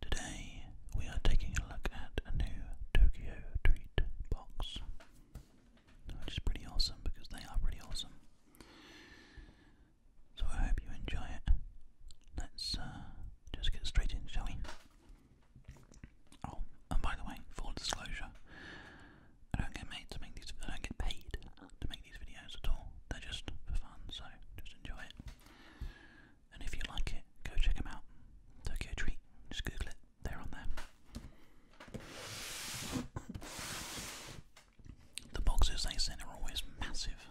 Today we are taking a look at a new Tokyo Treat box, which is pretty awesome because they are pretty awesome. So I hope you enjoy it. Let's uh, just get straight in, shall we? Oh, and by the way, full disclosure, I don't get made to make these. I don't get paid to make these videos at all, they're just for fun, so just enjoy it. And if you like it, go check them out. Tokyo Treat, just Google it, they on there. The boxes they send are always massive.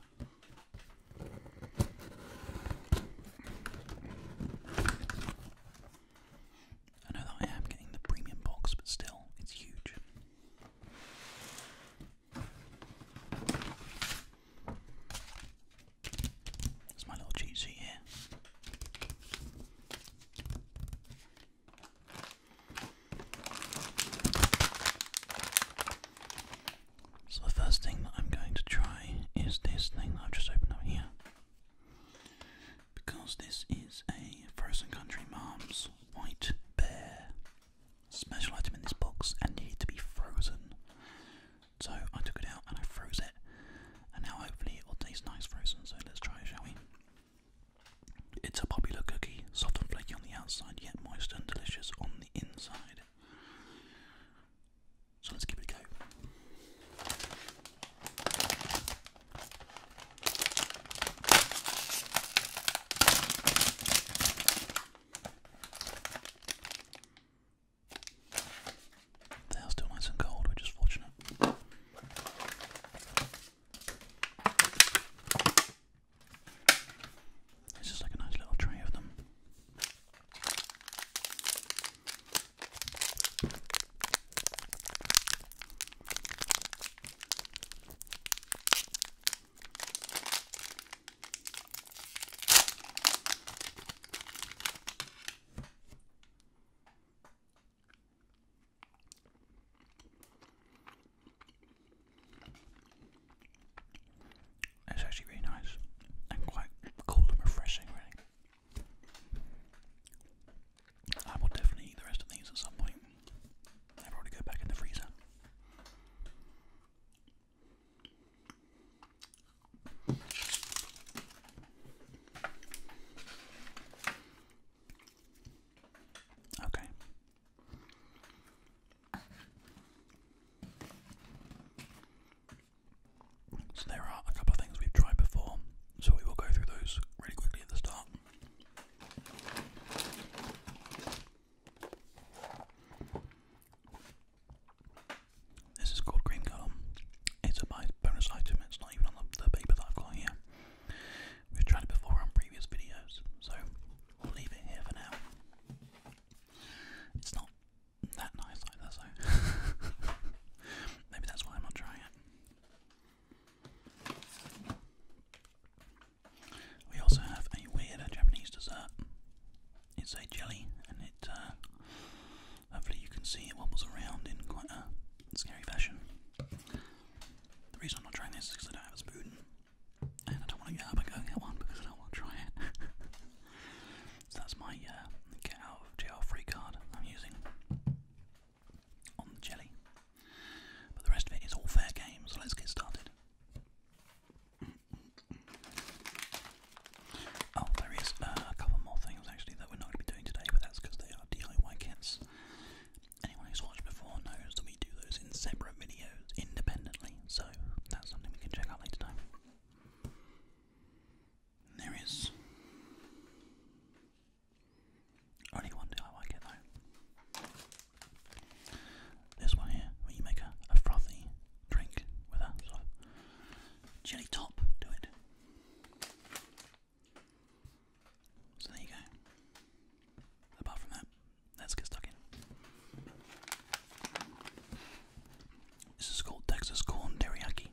I know that I am getting the premium box, but still, it's huge. There's my little cheat sheet here. So, the first thing I'm going to try is this thing I've just opened up here. Because this is a Frozen Country Mom's White Bear special item in this box and needed to be frozen. So I took it out and I froze it, and now hopefully it will taste nice frozen. So let's try it, shall we? It's a popular cookie, soft and flaky on the outside, yet moist and delicious on the inside. So let's give it a go. They are still nice and cold, which is fortunate. It's just like a nice little tray of them. It's actually really nice and quite cool and refreshing, really. I will definitely eat the rest of these at some point. I've already got back in the freezer. Okay. So there are a couple of things we've tried before, so we will go through those really quickly at the start. This is called Green Column. It's a bonus item, it's not even on the, the paper that I've got here. We've tried it before on previous videos, so we'll leave it here for now. It's not that nice either, so maybe that's why I'm not trying it. We also have a weird Japanese dessert. It's a jelly, and it uh, hopefully you can see it wobbles around in quite a scary fashion. The reason I'm not trying this is because I don't have a spoon, and I don't want to get up and go and get one because I don't want to try it. so that's my uh, get out of jail free card I'm using on the jelly. But the rest of it is all fair game, so let's get started. Oh, there is uh, a couple more things actually that we're not going to be doing today, but that's because they are DIY kits. Anyone who's watched before knows that we do those in separate videos independently, so that's something we can check out later There is only one DIY kit though. This one here, where you make a, frothy drink with a jelly top to it. So there you go. Apart from that, let's get stuck in. This is called Texas Corn Teriyaki.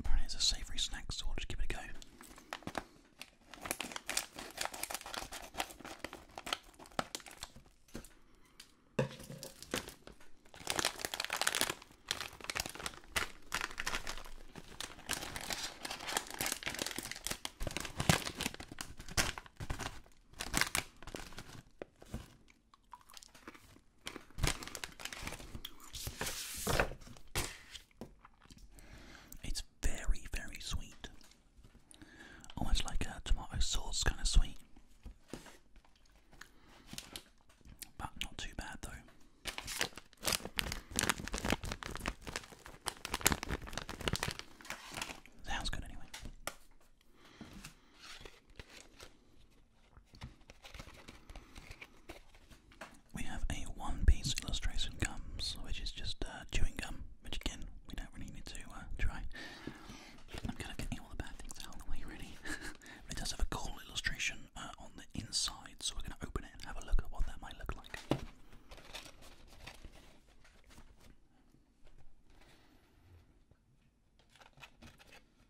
Apparently, it's a savoury snack, so I'll just give it a go. It's very, very sweet. Almost like a tomato sauce kind of sweet. But not too bad though. Sounds good anyway. We have a one piece illustration gums, which is just uh, chewing gum, which again, we don't really need to uh, try. I'm kind of getting all the bad things out the way, really. it does have a cool illustration uh, on the inside, so we're going to open it and have a look at what that might look like.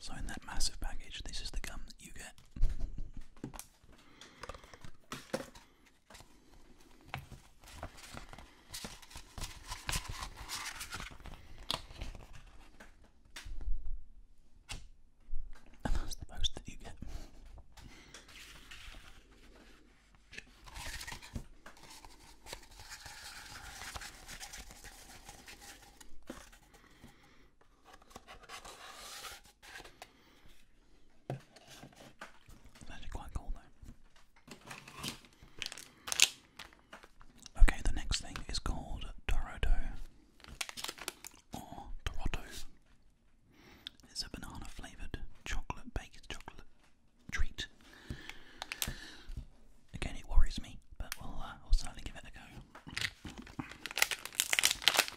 So, in that massive package, this is the gum that you get. And that's the most that you get. It's actually quite cool though. Okay, the next thing is called Dorado or Dorado. It's a banana flavoured chocolate baked chocolate treat. Again, it worries me, but we'll, uh, we'll certainly give it a go.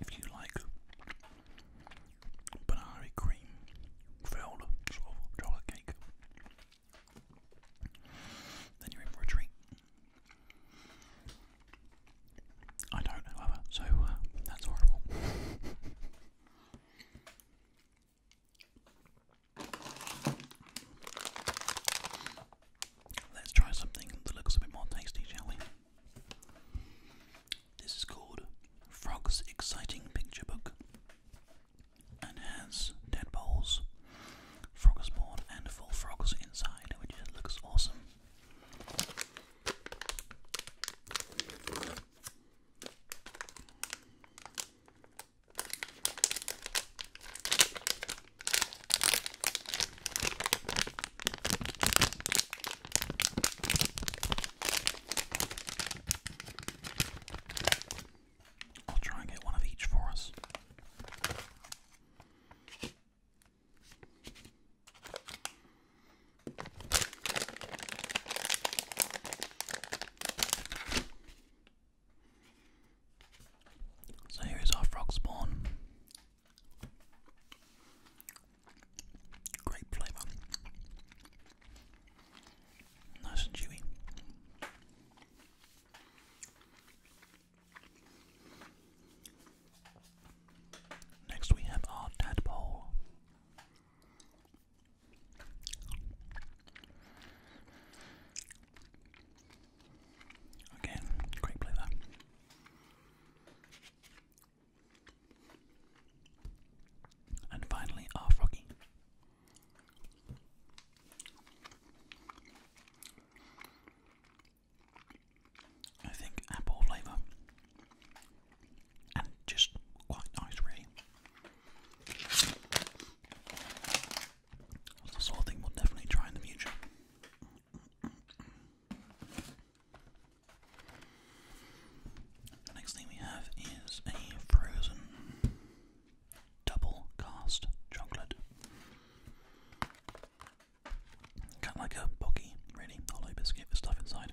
If you like banana cream filled chocolate cake, then you're in for a treat. I don't, however, so uh, that's horrible. Let's try something that looks a bit more tasty, shall we? This is called Frog's Exciting Picture Book and has tadpoles, frogs board, and full frogs inside, which looks awesome. I'll try and get one of each for us. So here is our frog spawn. Great flavour. Nice and chewy. Next we have our tadpole. Again, great play And finally, our froggy. I think apple flavour and just quite nice, really. That's the sort of thing we'll definitely try in the future. next thing we have is a frozen double cast chocolate. Kind of like a boggy, really, hollow biscuit stuff inside.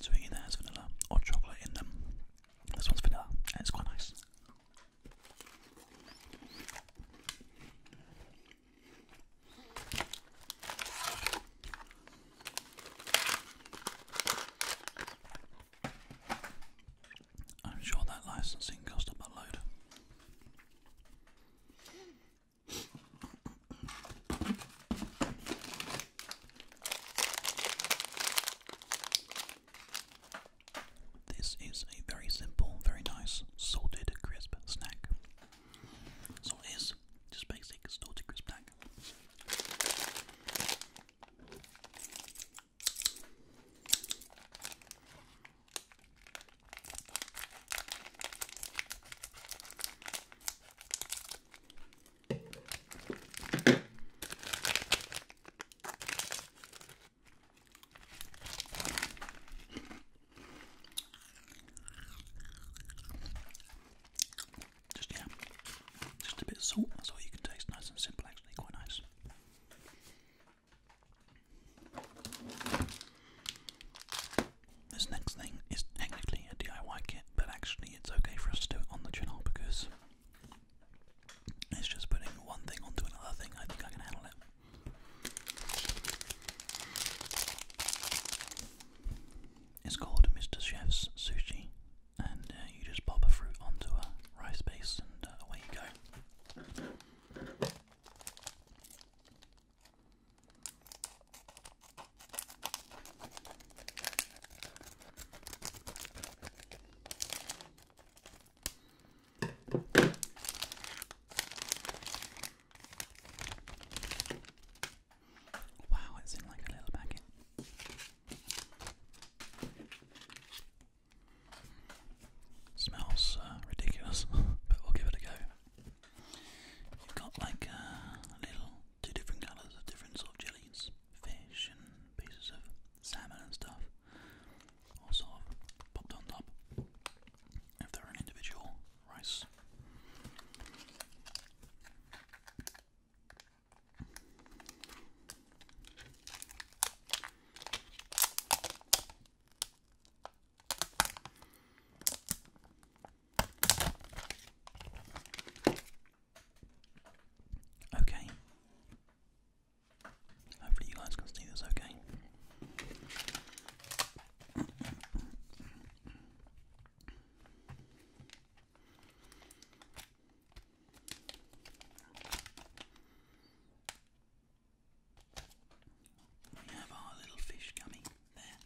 So it either has vanilla or chocolate in them. This one's vanilla, and it's quite nice. I'm sure that licensing cost a buttload. This is a very simple, very nice salted crisp snack. So it is just basic salted crisp snack. Just yeah, just a bit salt. That's all you can taste. Nice and simple, actually, quite nice. This next thing is technically a DIY kit, but actually it's okay for us to do it on the channel because it's just putting one thing onto another thing. I think I can handle it. It's called Mr. Chef's Sushi, and uh, you just pop a fruit onto a rice base, and uh, away you go. Wow, it's in like a little packet. Smells uh, ridiculous, but we'll give it a go. You've got like uh, little two different colours of different sort of jellies, fish and pieces of salmon and stuff, all sort of popped on top. If they're an individual rice. Okay. Hopefully, you guys can see this okay. We have our little fish coming there.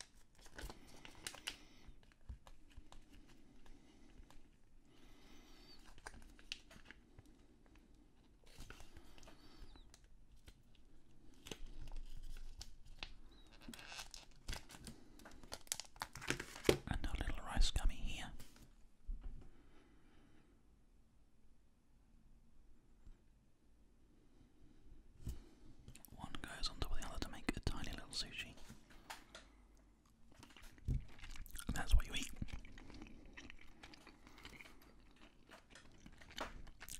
And a little rice gummy here. One goes on top of the other to make a tiny little sushi. that's what you eat.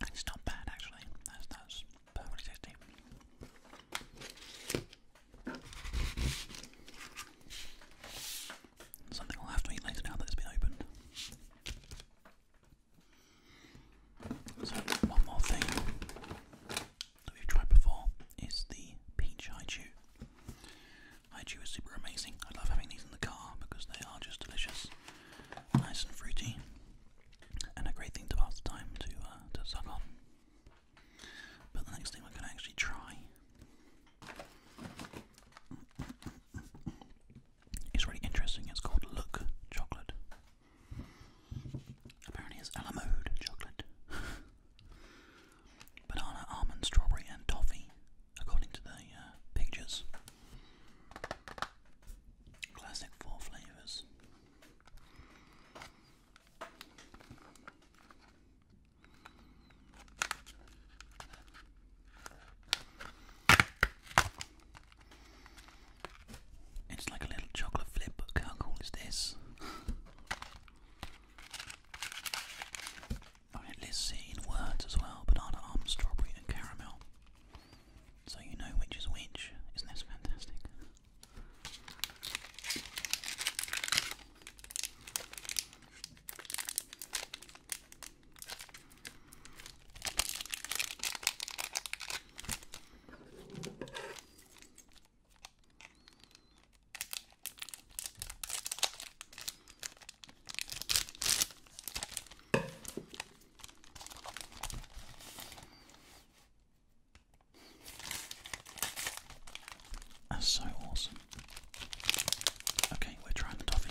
it's not bad actually. That's perfectly tasty. Something I'll have to eat later now that it's opened. So one more thing that we've tried before is the peach haichu. Haichu is super amazing. I love having these in the car because they are just delicious, nice and fruity, and a great thing to pass the time to uh, to suck on. But the next thing we're going to actually try is really interesting. It's called Look Chocolate. Apparently it's Alamode chocolate. Banana, almond, strawberry and toffee, according to the uh, pictures. Classic four flavours. It's like a little chocolate flip book. How cool is this? let's see in words as well banana, almond, um, strawberry, and caramel. So you know which is which. Isn't this fantastic? That's so awesome. Okay, we're trying the toffee.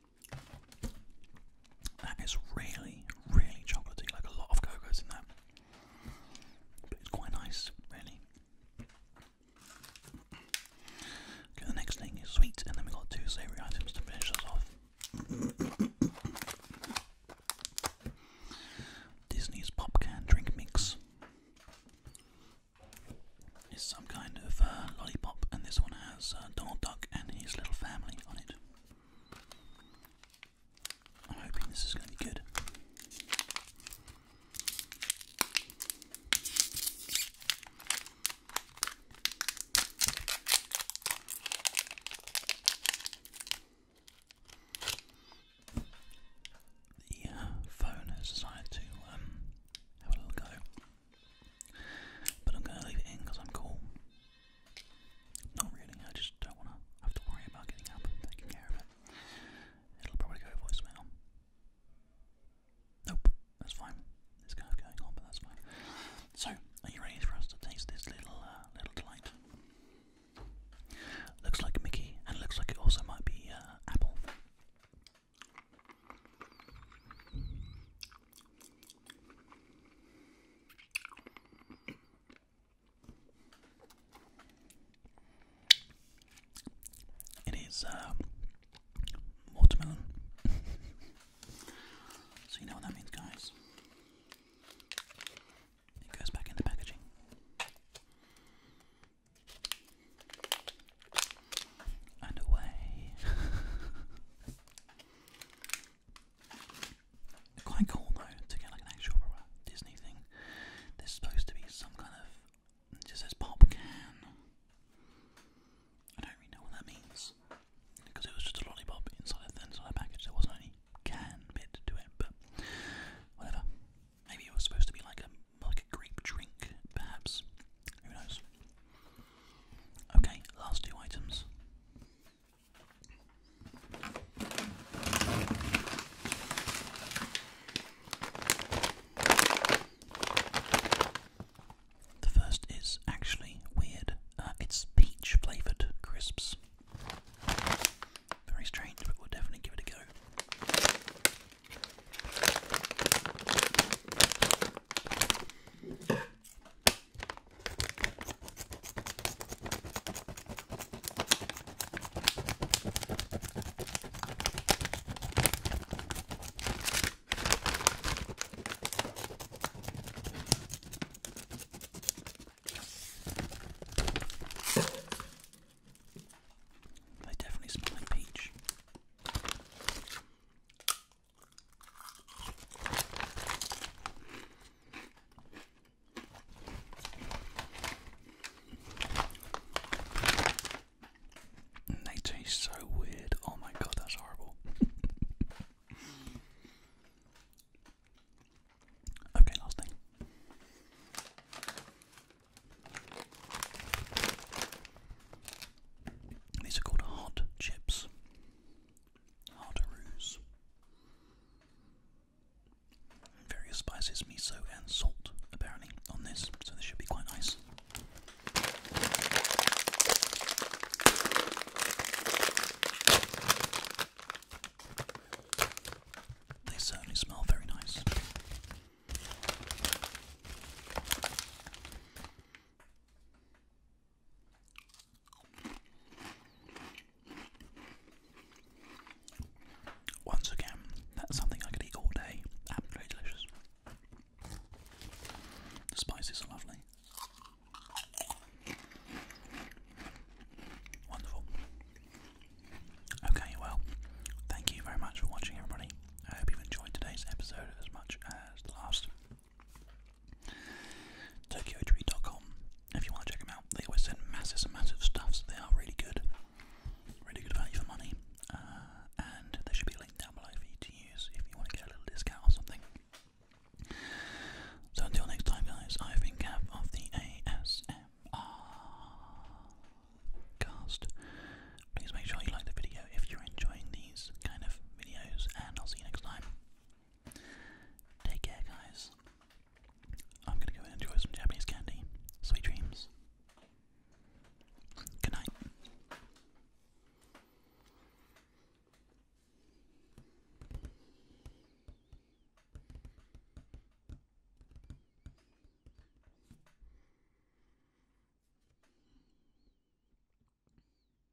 That is really, really chocolatey, like a lot of cocoa's in there. But it's quite nice, really. Okay, the next thing is sweet, and then we got two savoury items to finish us off. Disney's Pop Can Drink Mix is some kind of uh, lollipop, and this one has uh, Donald Duck and his little family on it. I'm hoping this is going to be good. The uh, phone has decided to um, have a little go. But I'm going to leave it in I'm cool. Not really, I just don't want to have to worry about getting up and taking care of it. It'll probably go voicemail. Nope, that's fine. It's kind of going on, but that's fine. So, are you ready for us to taste this little uh, little delight? Looks like Mickey, and looks like it also might be uh, apple. It is uh, watermelon. so you know what that means, guys. It goes back into packaging. And away. Quite cool though to get like an actual Disney thing. There's supposed to be some kind of just says pop can. I don't really know what that means because it was just a lollipop inside a thin side package. There wasn't any can bit to it, but whatever. Maybe it was supposed to be like a like a grape drink, perhaps. Who knows? Okay, last two items. The first is actually weird. Uh, it's peach flavoured crisps. Very strange, but we'll definitely give it a go. They definitely smell like peach. And they so weird. Oh my god, that's horrible. okay, last thing. These are called hot chips hardarus, various spices, miso and salt apparently on this, so this should be quite nice. They certainly smell very nice. Once again, that's something I could eat all day. Absolutely delicious. The spices are lovely. Wonderful. Okay, well, thank you very much for watching, everybody. I hope you've enjoyed today's episode as much as the last. TokyoTree.com, if you want to check them out, they always send massive, and massive stuffs. So they are really good, really good value for money. Uh, and there should be a link down below for you to use if you want to get a little discount or something. So until next time, guys, I've been Gav of the ASMR cast. Please make sure you like the video if you're enjoying the kind of videos, and I'll see you next time. Take care, guys. I'm gonna go and enjoy some Japanese candy. Sweet dreams. Good night.